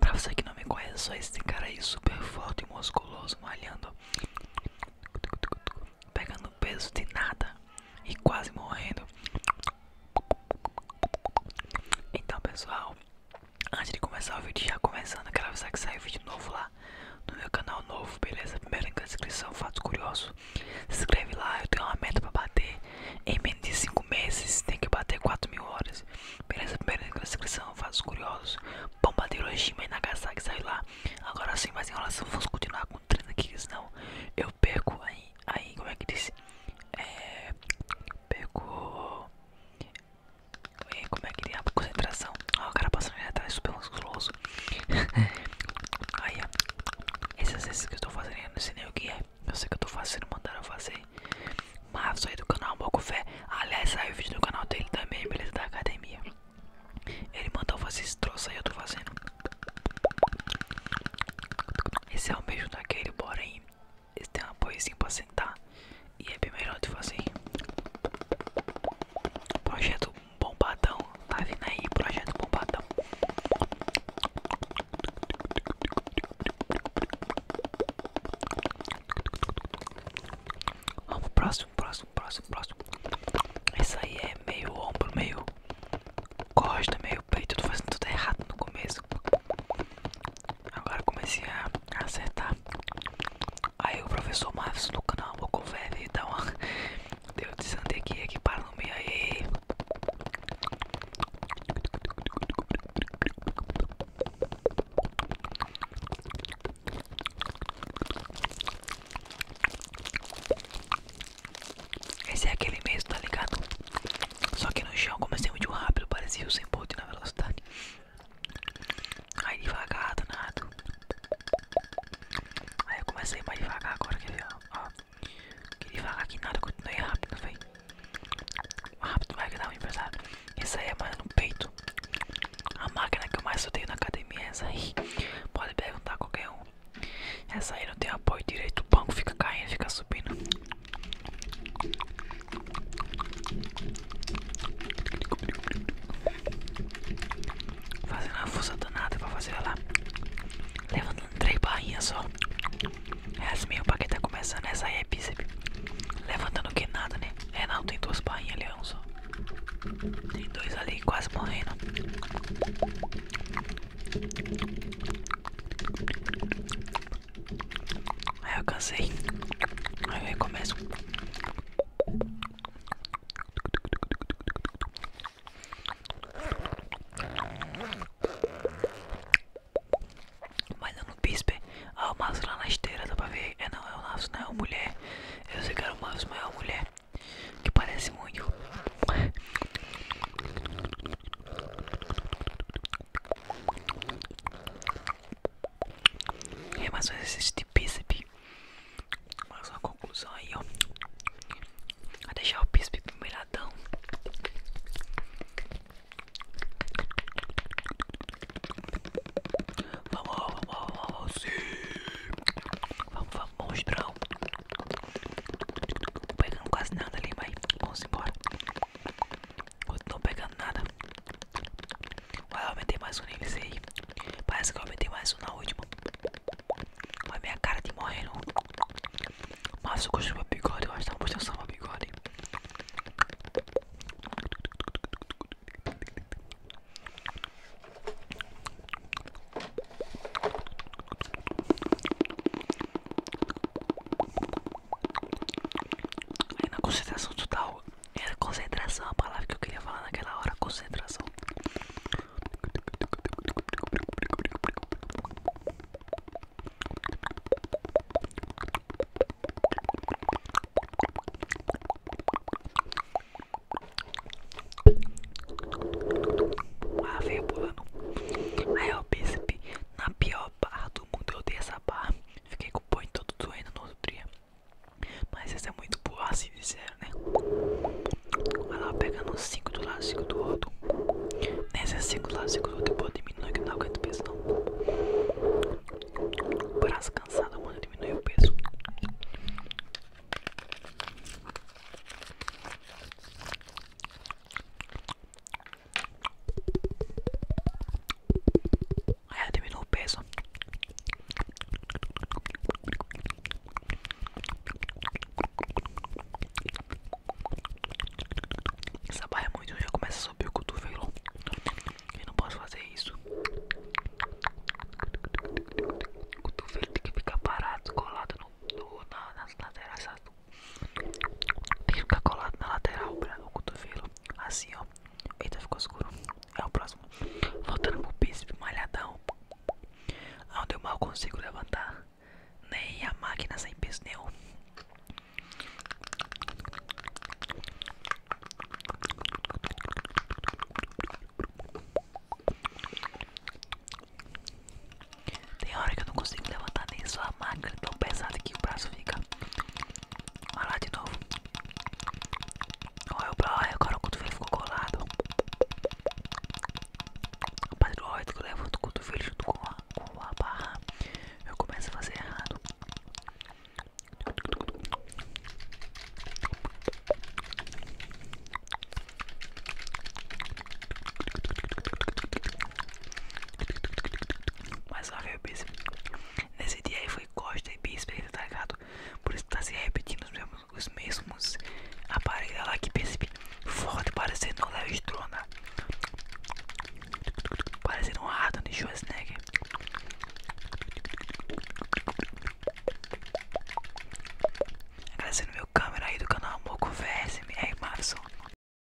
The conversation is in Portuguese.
Para você que não me conhece, só esse cara aí super forte e musculoso malhando pegando peso de nada e quase morrendo. Então, pessoal, antes de começar o vídeo, já começando, quero avisar que sai vídeo novo lá no meu canal novo, beleza? Primeiro link na descrição, fato curioso. Se inscreve lá, eu tenho uma meta pra bater em menos de 5 meses, tem que bater 4 mil horas. Beleza? Primeiro link na descrição, fatos curiosos bomba de Hiroshima e Nagasaki saiu lá. Agora sim, mas enrolação, vamos continuar com o treino aqui, senão eu perco aí, aí como é que disse? É, perco. É, como é que diz? A concentração. Ó, o cara passando ali atrás, super musculoso. aí, ó. Esses exercícios que eu estou fazendo, eu não sei nem o que é. Eu sei que eu estou fazendo, mandaram fazer aí. Mas aí do canal Boco Fé. Aliás, saiu vídeo do canal dele também, beleza? Da academia. Ele mandou fazer esse troço aí, eu tô fazendo. Esse é o mesmo daquele, porém. Esse tem um apoiozinho pra sentar. E é bem melhor de fazer. Projeto Bombadão. Tá vindo aí, projeto Bombadão. Vamos, próximo, próximo, próximo, próximo. Esse aí é meio ombro, meio costa, meio peito. Tô fazendo tudo errado no começo. Agora comecei a acertar. Aí o professor Marcos no canal, vou conferir então dá uma. Deu desandei aqui, aqui para no meio aí. Esse é aquele mesmo, tá ligado? Só que no chão, como é muito rápido, parecia o sem bote na velocidade. Aí devagar, danado. Aí eu comecei mais devagar agora, quer ver? Ó, que devagar que nada, continuei rápido, velho. Rápido, vai que dá um empresário. Isso aí é mais no peito. A máquina que eu mais odeio na academia é essa aí. Pode perguntar qualquer um. Essa aí não tem apoio direito. O banco fica caindo, fica subindo. Fazendo a força danada pra fazer ela levantar começando, três barrinhas só. É assim mesmo pra quem tá começando, essa aí é bíceps. Levantando que nada, né? É não, tem duas barrinhas ali, é um só. Tem dois ali quase morrendo. Aí eu cansei. Aí eu recomeço. Mas não no Bispe. Ah, o Maço lá na esteira, dá pra ver. É não, é o Maço, não é a mulher. Eu sei que era o Maço, mas é a mulher. Que parece muito. É mais um exercício de bíceps. Olha só conclusão aí, ó. Vai deixar o pispe molhadão. Vamos, vamos, vamos, sim. Vamos, vamos, monstrão. Não pegando quase nada ali, mas vamos embora. Eu não tô pegando nada. Vai, eu aumentei mais um nível aí. Parece que eu aumentei mais mais na última. Olha minha cara de morrendo. Mas eu gosto do meu bigode, eu acho que tá mostrando só meu bigode. Aí na concentração total, era concentração a palavra que eu queria falar naquela hora, concentração. Uma aveia pulando. Aí o percebi, na pior barra do mundo eu dei essa barra. Fiquei com o pão todo doendo no outro dia. Mas essa é muito boa, assim disseram, né? Vai lá pegando 5 do lado, 5 do outro. nesse 5 é do lado, 5 do outro. Depois diminuir que não aguento peso, não. Braço cansado, mano, diminuir o peso. Aí ela diminuiu o peso. Essa barra é muito já começa a subir o cotovelo. Eu não posso fazer isso. O cotovelo tem que ficar parado, colado no, no, na, nas laterais. Tem que ficar colado na lateral, o cotovelo. Assim, ó ó. Eita, ficou escuro. É o próximo. Voltando pro príncipe malhadão. Aonde eu mal consigo levantar. Nem a máquina sem peso nenhum. Tem hora que eu não consigo levantar nem só a máquina tão pesada que o braço fica. Olha lá de novo. Olha, olha agora o cotovelo ficou colado. A partir do momento que eu levo o cotovelo junto com a, a barra, eu começo a fazer errado. Mas lá veio o bíceps. Nesse dia aí foi costa e bíceps, tá ligado? Por isso tá se repetindo os mesmos, os mesmos aparelhos lá que bíceps. Forte, parecendo um Léo Strona. Parecendo um Arnold Schwarzenegger. Agradecendo meu câmera aí do canal Moco VSM, Marson.